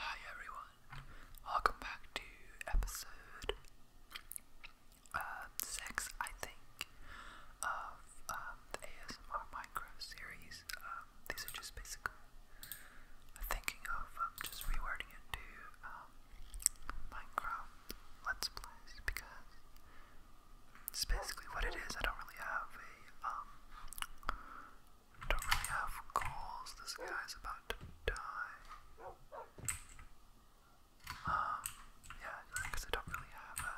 Hi everyone, welcome back to episode um, 6, I think, of um, the ASMR Micro series. Um, these are just basically thinking of just rewording it to Minecraft Let's Plays because it's basically what it is. I don't really have a don't really have goals. This guy's about to die. Um, yeah, because I don't really have a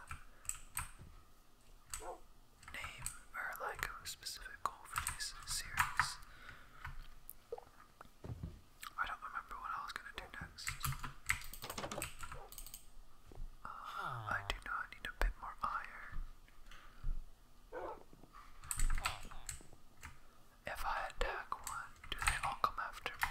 name or like a specific goal for this series. I don't remember what I was gonna do next. Uh, I do know I need a bit more iron. If I attack one, do they all come after me?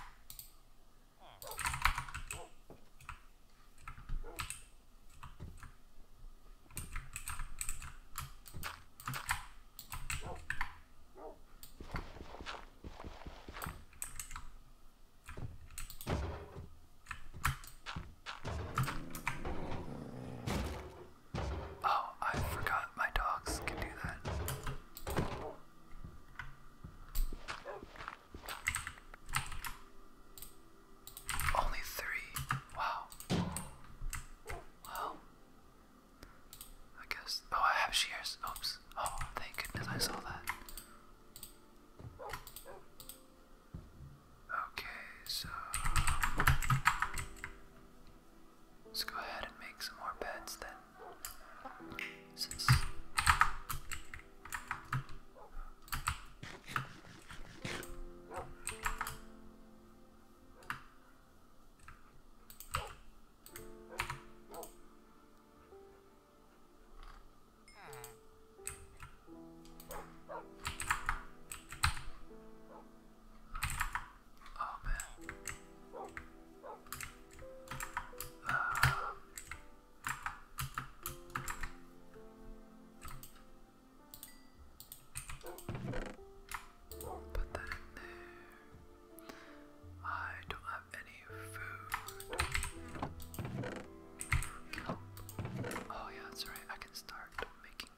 Oh, I forgot my dogs can do that. Only three. Wow. Well, I guess. Oh, I have shears. Oops. Oh, thank goodness I saw that. Okay, so let's go ahead and make some more beds then. Oh man. Uh, put that I don't have any food. Oh yeah, that's right. I can start making um,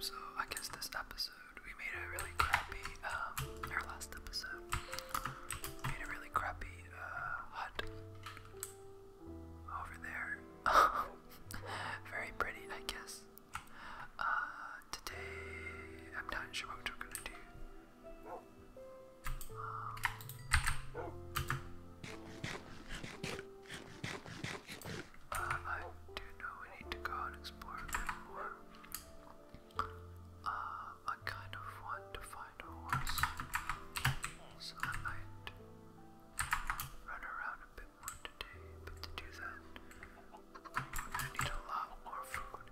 so I guess this episode we made a really crappy um our last episode made a really crappy uh, hut over there. Very pretty I guess. Uh, today, I'm not sure what we're gonna do. Um, uh, I do know we need to go and explore a bit more. Uh, I kind of want to find a horse, so I might run around a bit more today. But to do that, I need a lot more food.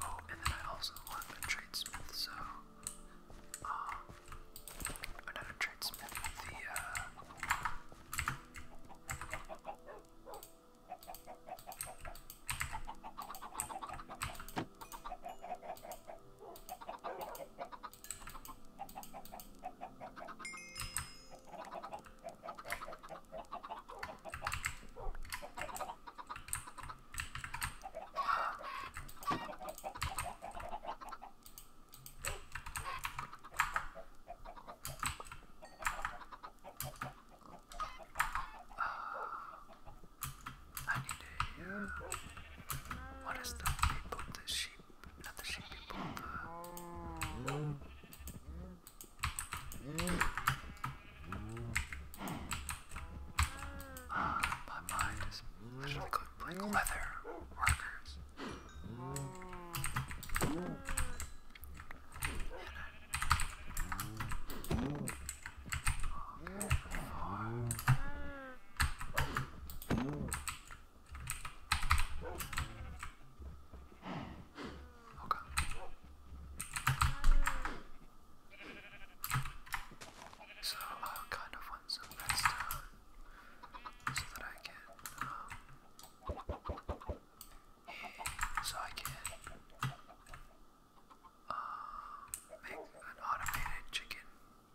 Oh, and then I also want a tradesmith, so um uh, or not a tradesmith, the uh I need to hear what is the people that she not the sheep people, the... Uh, my mind is literally going like leather markers. And I... Okay, fine. Okay. So I kind of want some beds down so that I can, um, yeah, so I can, um, make an automated chicken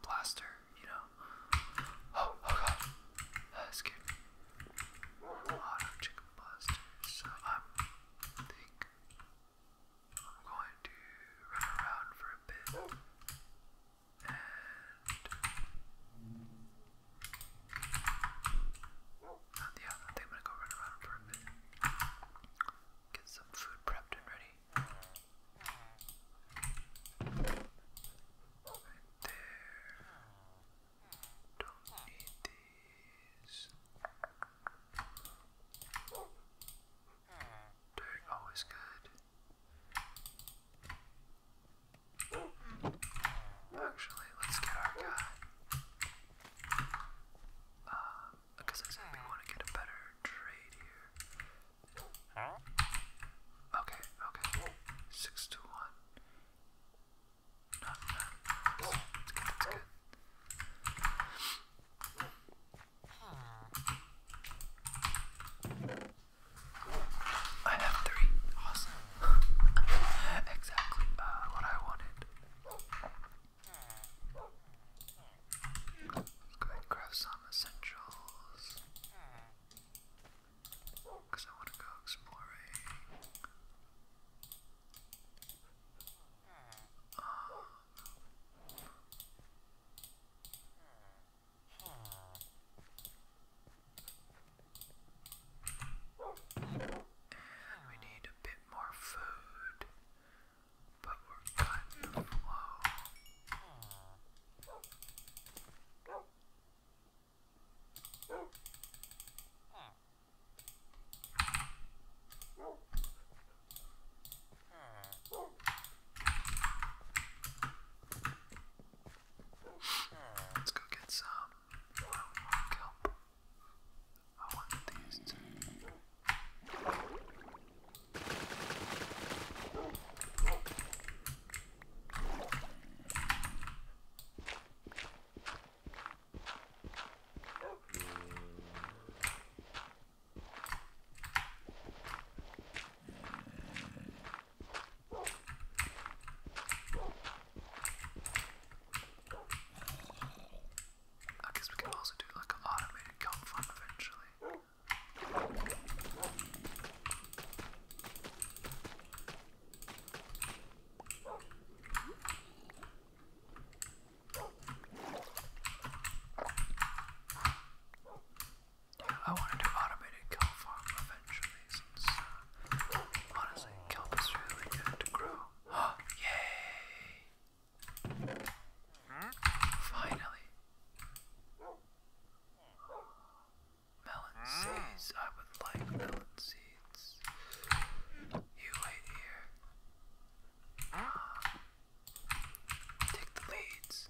blaster, you know. Oh, oh god, that uh, scared chicken blaster. So I think I'm going to run around for a bit and. Yeah, I think I'm gonna go run around for a bit. Get some food prepped and ready. Don't need these. Dirt always good. Actually, let's get our guy. Um, uh, because I said we want to get a better trade here. Okay, okay. Six to one. Not bad. It's good, it's good. I have three. Awesome. exactly uh, what I wanted. Let's go ahead and grab some essentials. Because I want to go exploring. Um, and we need a bit more food but we Let's go get some kelp. I want these two. I guess we can also do like an automated gun fund eventually. Yeah, I want to do automated kelp farm eventually since uh, honestly kelp is really good to grow. Oh, yay! Finally. Melon seeds. I would like melon seeds. You wait here. Ah. Take the leads.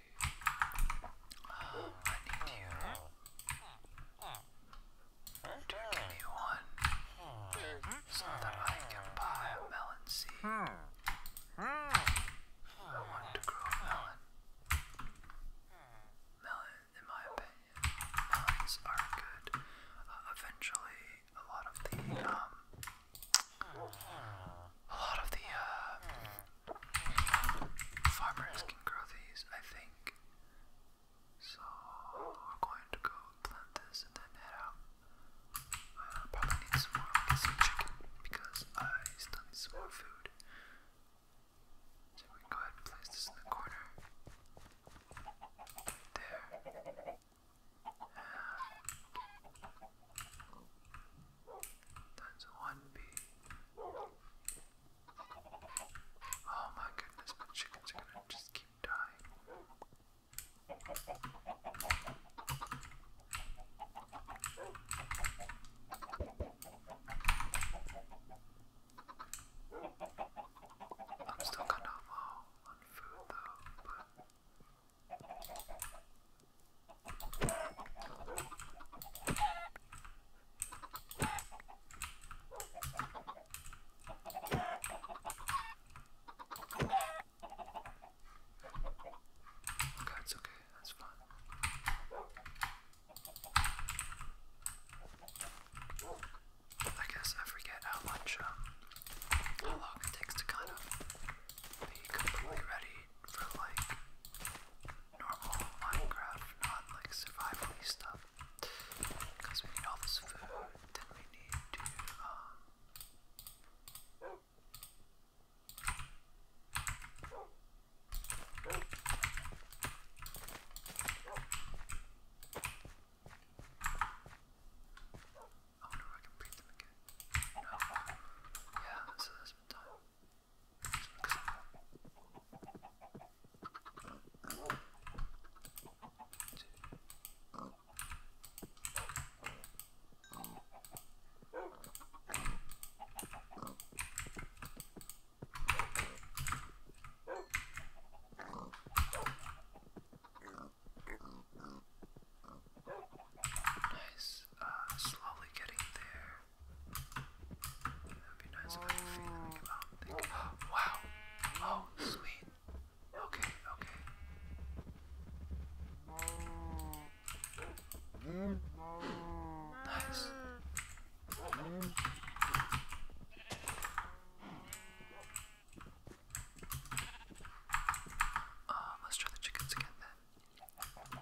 um, I need you to give me one so that I can buy a melon seed. I want to grow a melon. Melon, in my opinion, melons are good. Uh, eventually, a lot of the um, a lot of the uh, farmers can grow these, I think. So we're going to go plant this and then head out. I probably need some more, chicken because I still need more food. So we go ahead and place this in the corner. There. That's one bee. Oh my goodness, my chickens are gonna just keep dying. I'm still kind of low on food though, Okay, it's okay, that's fine. I guess I forget how much, um, how long it takes to kind of be completely ready for like normal Minecraft, not like survival stuff. Because we need all this food, then we need to, um, I wonder if I can breed them again. Yeah, so that's been done. Nice. Uh, slowly getting there. That'd be nice if I could feel like about think Wow. Oh, sweet. Okay, okay. Mm. Nice. Mm. Uh, let's try the chickens again then.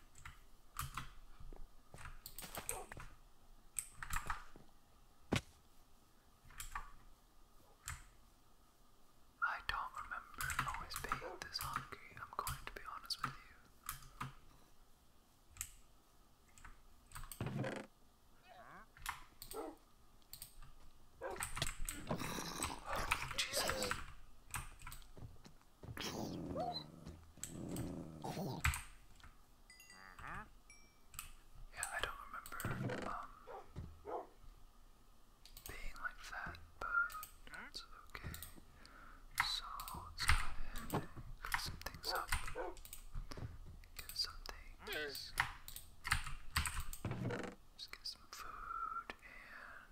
I don't remember always being this hungry, I'm going to be honest with you. Oh, Jesus. Yeah, I don't remember um, being like that, but that's okay. So let's go ahead and get some things up. Get some things. Just get some food and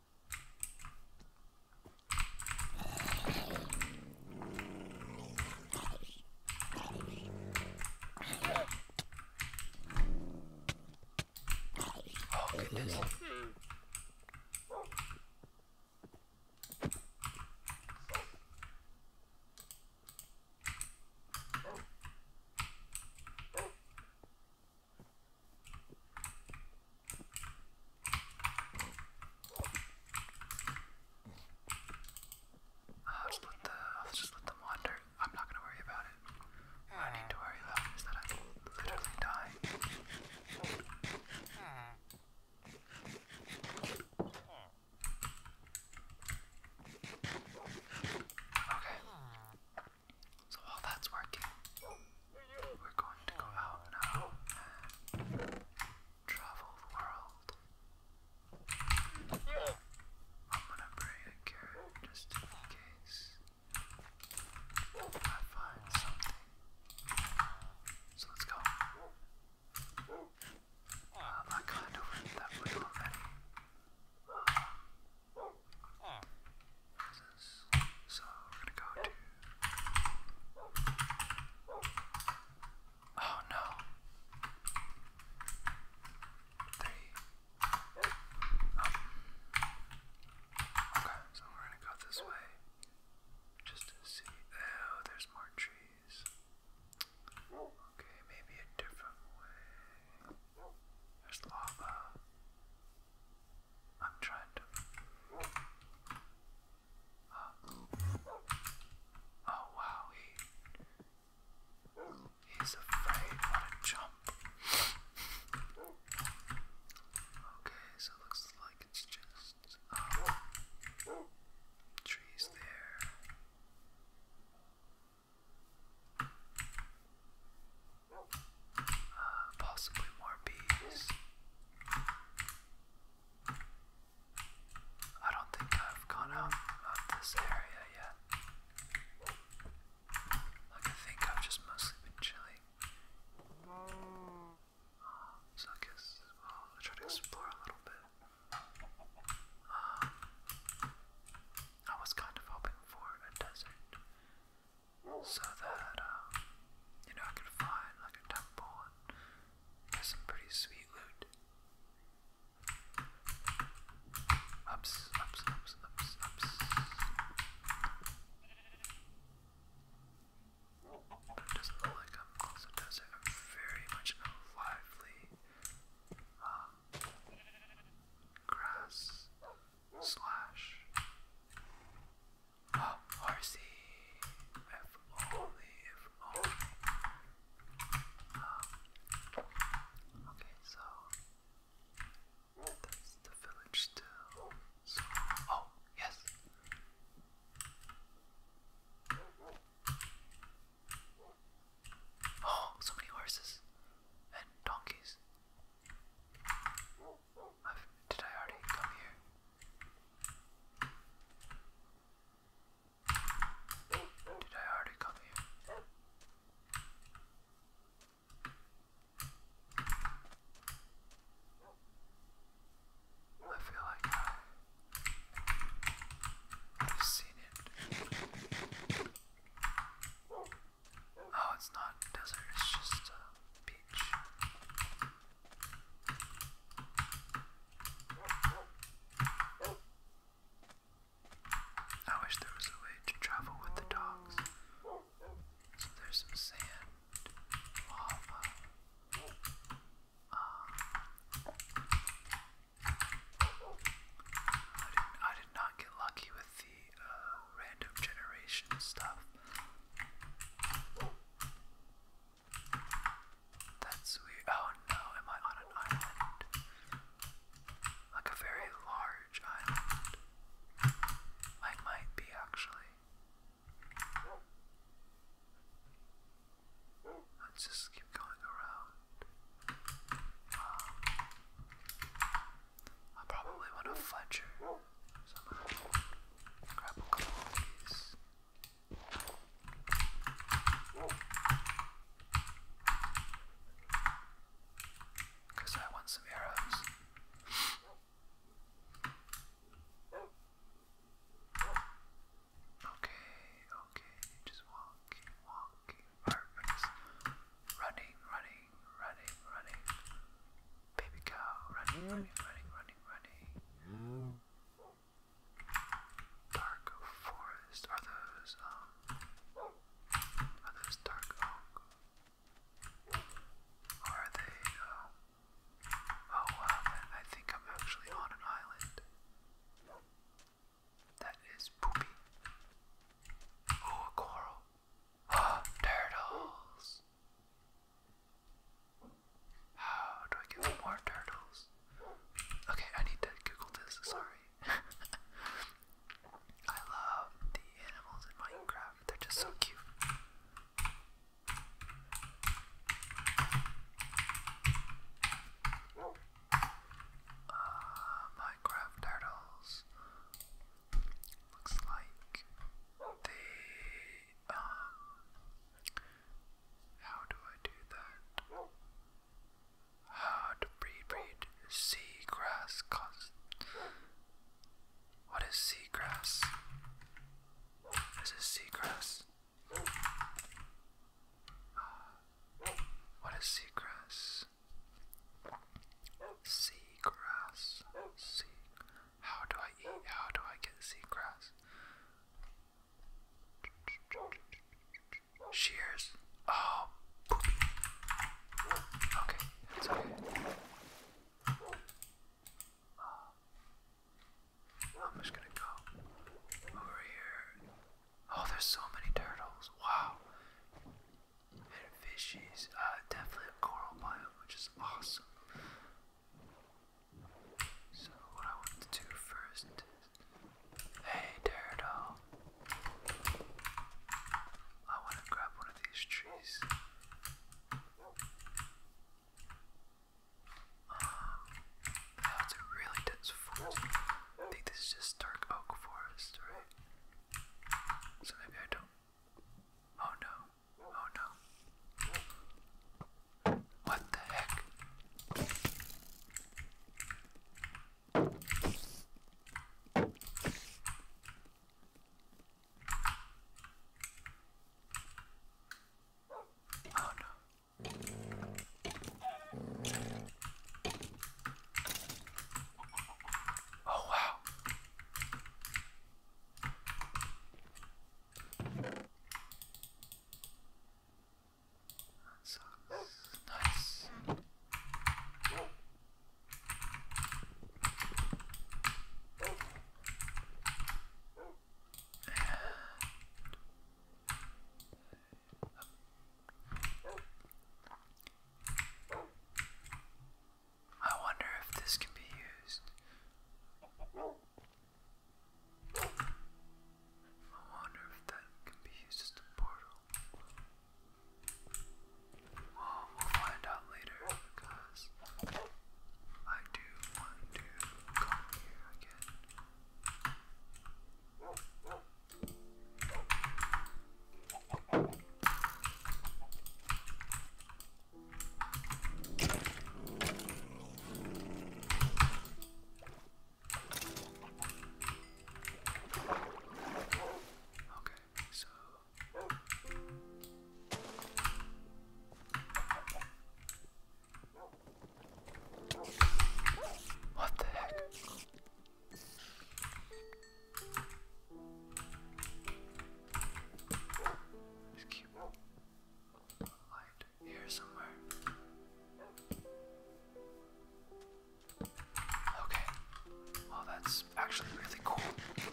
Oh, hmm. goodness. I'll just let the I'll just let them wander. I'm not gonna worry about it. What I need to worry about is that I'm literally dying. Okay. So while that's working, we're going to go out now travel the world. I'm gonna bring a carrot just in case I find something. So let's go. Well, uh, I kind of that way already. Um, Oh no. Three. Um, okay, so we're gonna go this way. Just to see. Oh, there's more trees. Okay, maybe a different way. There's lava. I'm trying to. Uh, oh wow, he he's afraid. What a jump! Okay, so it looks like it's just um, trees there possibly more bees. I don't think I've gone out of this area yet. I think I've just mostly been chilling. Oh, so I guess I'll try to explore a little bit. Um, I was kind of hoping for a desert so that um, you know I could find like a temple and get some pretty sweet loot. Ups, ups, ups, ups, ups. It doesn't look like I'm close to very much lively um, grass slash oh, um, okay, so that's the village still. oh, yes. Oh, so many horses and donkeys. I've, did I already come here? Did I already come here? I feel like I've seen it. Oh, it's not desert, it's just a beach. I wish there was a way to travel with the dogs. there's some sand, lava. Um, I did not get lucky with the random generation stuff. That's weird. Oh no, am I on an island? Like a very large island. I might be actually. let just keep going around. Um, I probably want to fletcher somehow. Grab a couple of these. Because I want some arrows. okay, okay, just walking, walking, running, running, running, running, Baby cow, running, running, running, running, running. Dark forest. Are those um? Are those dark oak? are they? Uh, oh wow! I think I'm actually on an island. That is poopy. Oh, coral of turtles. How do I get more turtles? Okay, I need to Google this, sorry. I love the animals in Minecraft, they're just so cute. Uh, Minecraft turtles. Looks like they, um, how do I do that? How to breed, breed, seagrass, cause, what is seagrass? This is seagrass. Uh, what is seagrass? Seagrass. Sea. How do I eat? How do I get seagrass? Shears. Oh. Okay, it's okay. Uh, I'm just gonna go over here. Oh, there's so many turtles. Wow and fishies. Uh, definitely a coral biome, which is awesome. So what I want to do first is, hey Daredevil, I want to grab one of these trees. Um, that's a really dense forest. I think this is just dark oak forest, right? So maybe I don't. Oh no. Oh no. What the heck? Oh no. Oh, wow. That sucks. Nice. And I wonder if this can be used. I wonder if that can be used as a portal. Well, we'll find out later because I do want to come here again. Okay, so what the heck? Just keep light here somewhere. Okay. Well, that's actually really cool.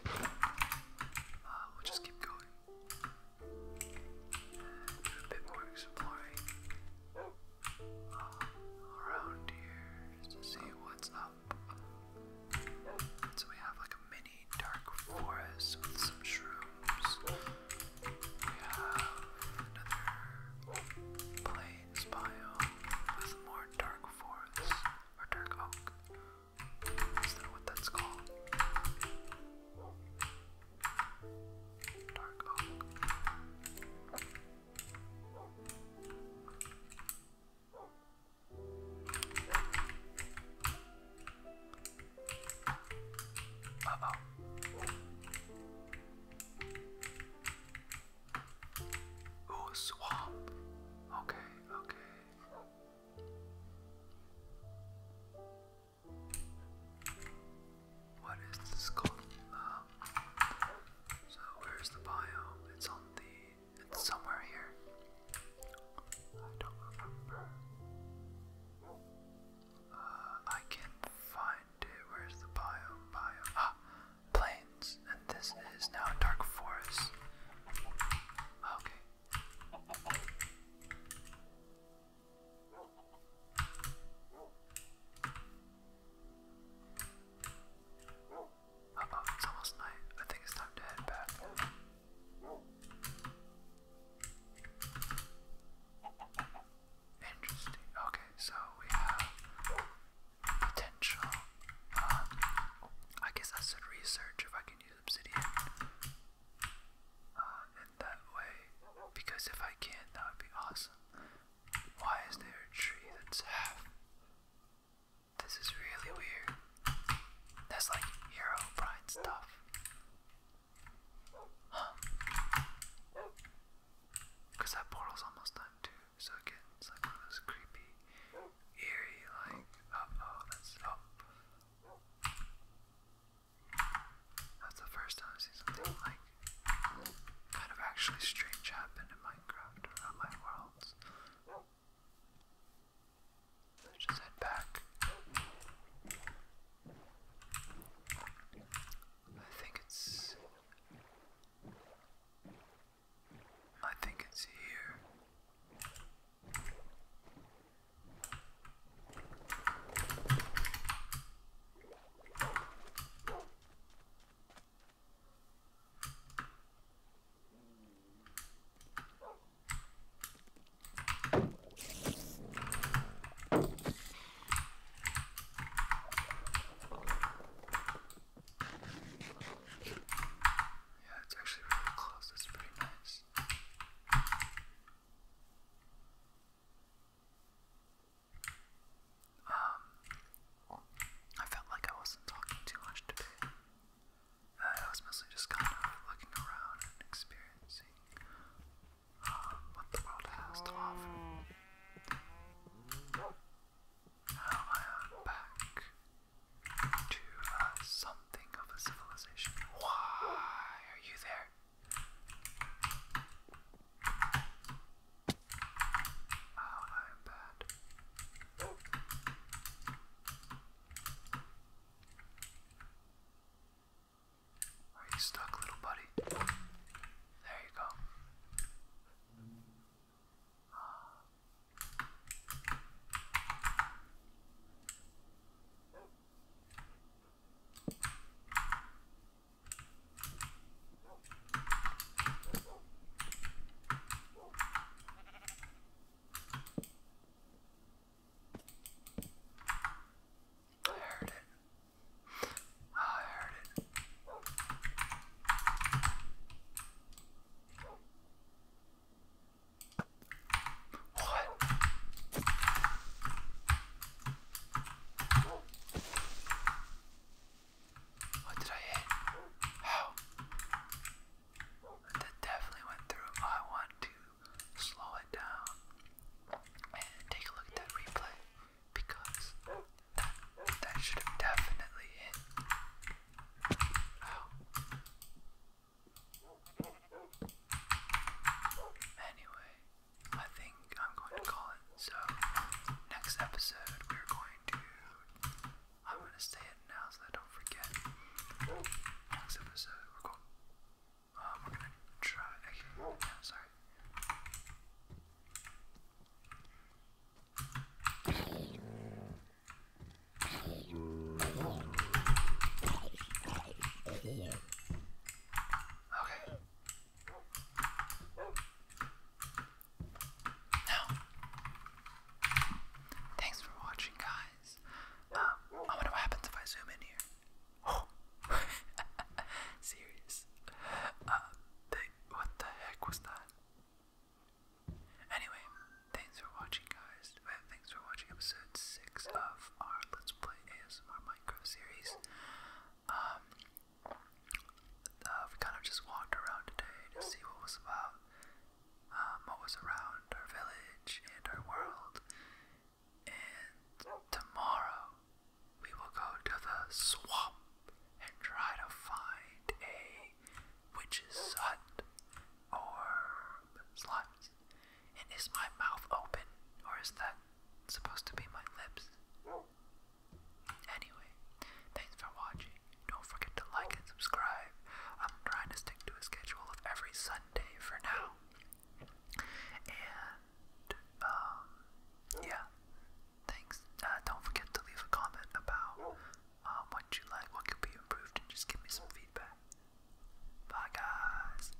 Uh, we'll just keep going. a bit more exploring uh, around here just to see what's up. So we have like a mini dark forest with some shrooms. We have another plains biome with more dark forest or dark oak. Is that what that's called? Dark oak oh swamp. Okay, okay. What is this called? Um, so where's the biome? It's on the somewhere here. I don't remember. Uh, I can't find it. Where's the biome? Biome Ah plains. And this is now dark forest. Okay it's almost night. I think it's time to head back. Interesting. Okay, so we have potential. Uh, I guess I should research if I can use obsidian. Uh, in that way, because if I can, that would be awesome. Why is there a tree that's half? This is really weird. That's like Hero Pride stuff. Because that portal's almost done too, so again, it's like those creepy, eerie, like, oh, that's Oh. That's the first time i like kind of actually strange happened in Minecraft or my worlds. Let's just head back. I think it's. I think it's here. Yeah, it's actually really close. That's pretty nice. Um, I felt like I wasn't talking too much today. Uh, I was mostly just kind of looking around and experiencing um, what the world has to offer. Now I am back to uh, something of a civilization. Why are you there? Oh, I am bad. Are you stuck, little buddy? There you go. I heard it. Oh, I heard it. What? What did I hit? How? Oh. That definitely went through. I want to slow it down and take a look at that replay because that, that should have definitely hit. Ow. Oh. Anyway, I think I'm going to call it. So next episode we're going to I'm gonna say it now so I don't forget. Next episode we're going um, uh, we're gonna try actually sorry. Okay. Now, thanks for watching, guys. Um, I wonder what happens if I zoom in here. serious. Uh, what the heck was that? Anyway, thanks for watching, guys. Uh, thanks for watching episode six of our Let's Play ASMR Minecraft series. Um, i uh, kind of just walked around today to see what was about, um, what was around our village and our world. And tomorrow we will go to the swamp and try to find a witch's hut or slimes. And is my mouth open or is that supposed to be my lips? Anyway, thanks for watching. Don't forget to like and subscribe. I'm trying to stick to a schedule of every Sunday for now. And, um, yeah. Thanks. Uh, don't forget to leave a comment about um, what you like, what could be improved, and just give me some feedback. Bye, guys.